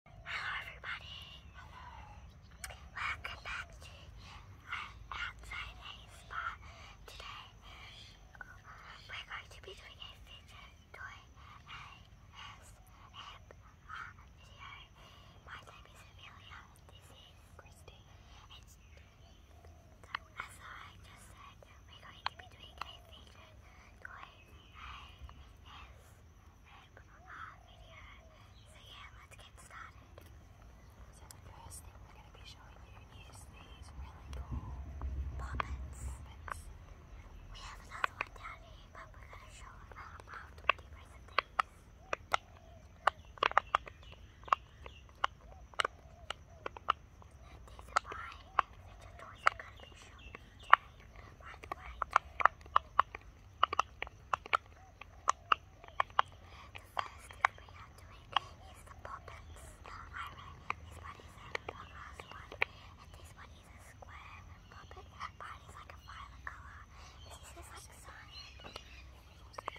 Hello everybody! Welcome back to Outside A Spa. Today we're going to be doing a fidget toy ASMR video. My name is Amelia, this is Christy. as I just said, we're going to be doing a fidget toy ASMR uh, So yeah, let's get started. So the first thing we're going to be showing you is these really cool poppets. We have another one down here, but we're going to show them um, after we these. are mine, which are toys i going to be showing By the way, is the puppets. The iron. This one is a glass one. And is a square puppet. That part is like a violet colour. This is like sun. Can I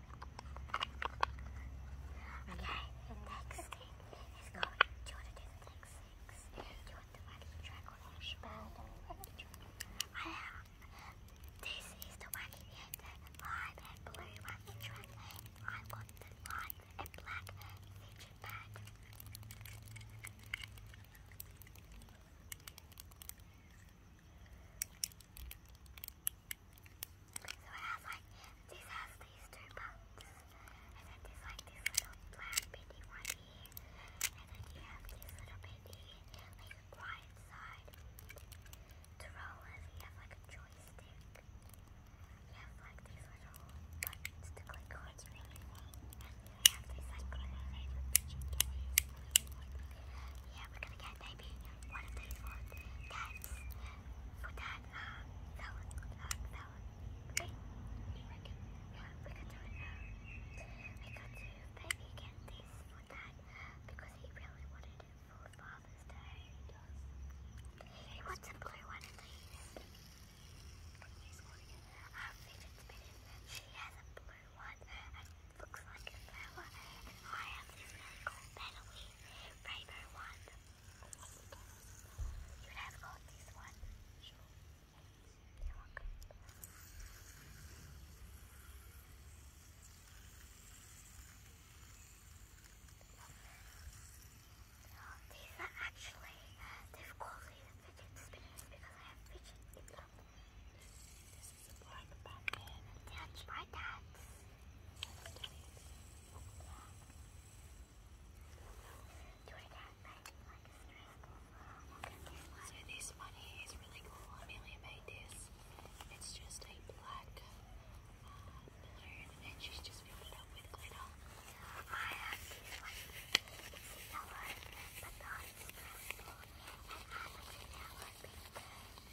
Okay, the next thing is going. you to do the next six? Do the wacky track or I have. This is the wacky and the lime and blue wacky track. I want the lime and black fidget pad. So it has like, this has these two buttons, and then there's like this little black bitty one here, and then you have this little bitty, like a side rollers, you have like a joystick, you have like these little buttons to click on, and you have this like little yeah, we're gonna get maybe one of these ones. That's for that, um, that one, that one, that one. Okay. Yeah, we could do it now. We could do baby candies for that because he really wanted it for Father's Day. He does. He wants a blue one and these. He's wanting it. Our fidget spinner, she has a blue one and looks like a flower and I have this really cool metal favorite one. You have got this one. these are actually, uh, they've called these fidget spinners because I have fidget in them. So this one here is really cool. Amelia made this. It's just a black uh, and she's just filled it up with glitter. I have this one. It's yellow, but not it's purple. And I like the yellow pink.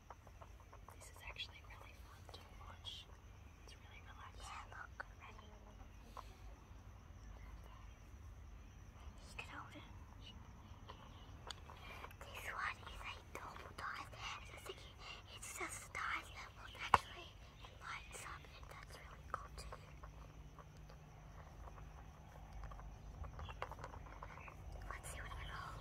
This is actually really fun to watch. It's really relaxing. Yeah, look, ready. You can hold it. This one is a double dive. It's just dive that actually lights up, and that's really cool too. Let's see what I roll.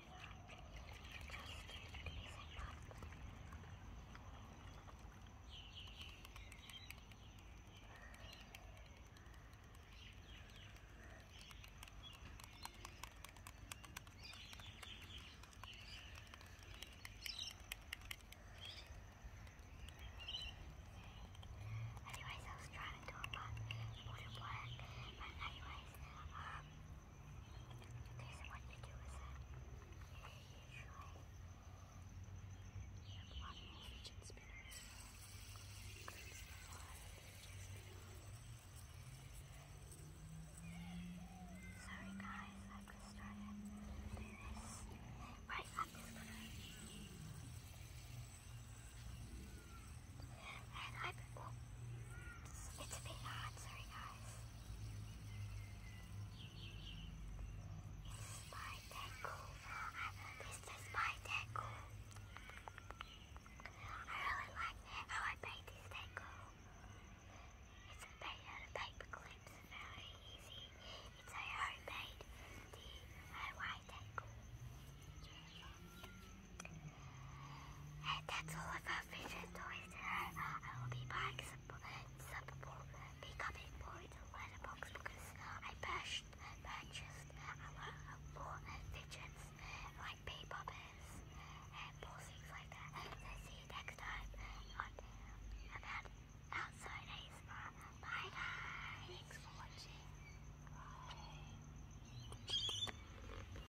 Anyways, I was trying to do a pot water black, but anyways, um, doesn't want to do is that they usually have one more fidget spinner as well. Includes the wire fidget spinner. Sorry guys, I've just started doing this right after the Oh, it's a bit hot, sorry guys. It's Spydeco. This is Spydeco. I really like how I made this deco. It's made out of paper clips, very easy. It's a homemade DIY deco. And that's all of our toys I will be buying some, more becoming boys and letterbox because I bashed, purchased a lot of more fidgets like pay poppers and more things like that. So see you next time on about outside Bye guys! Thanks for watching. Bye.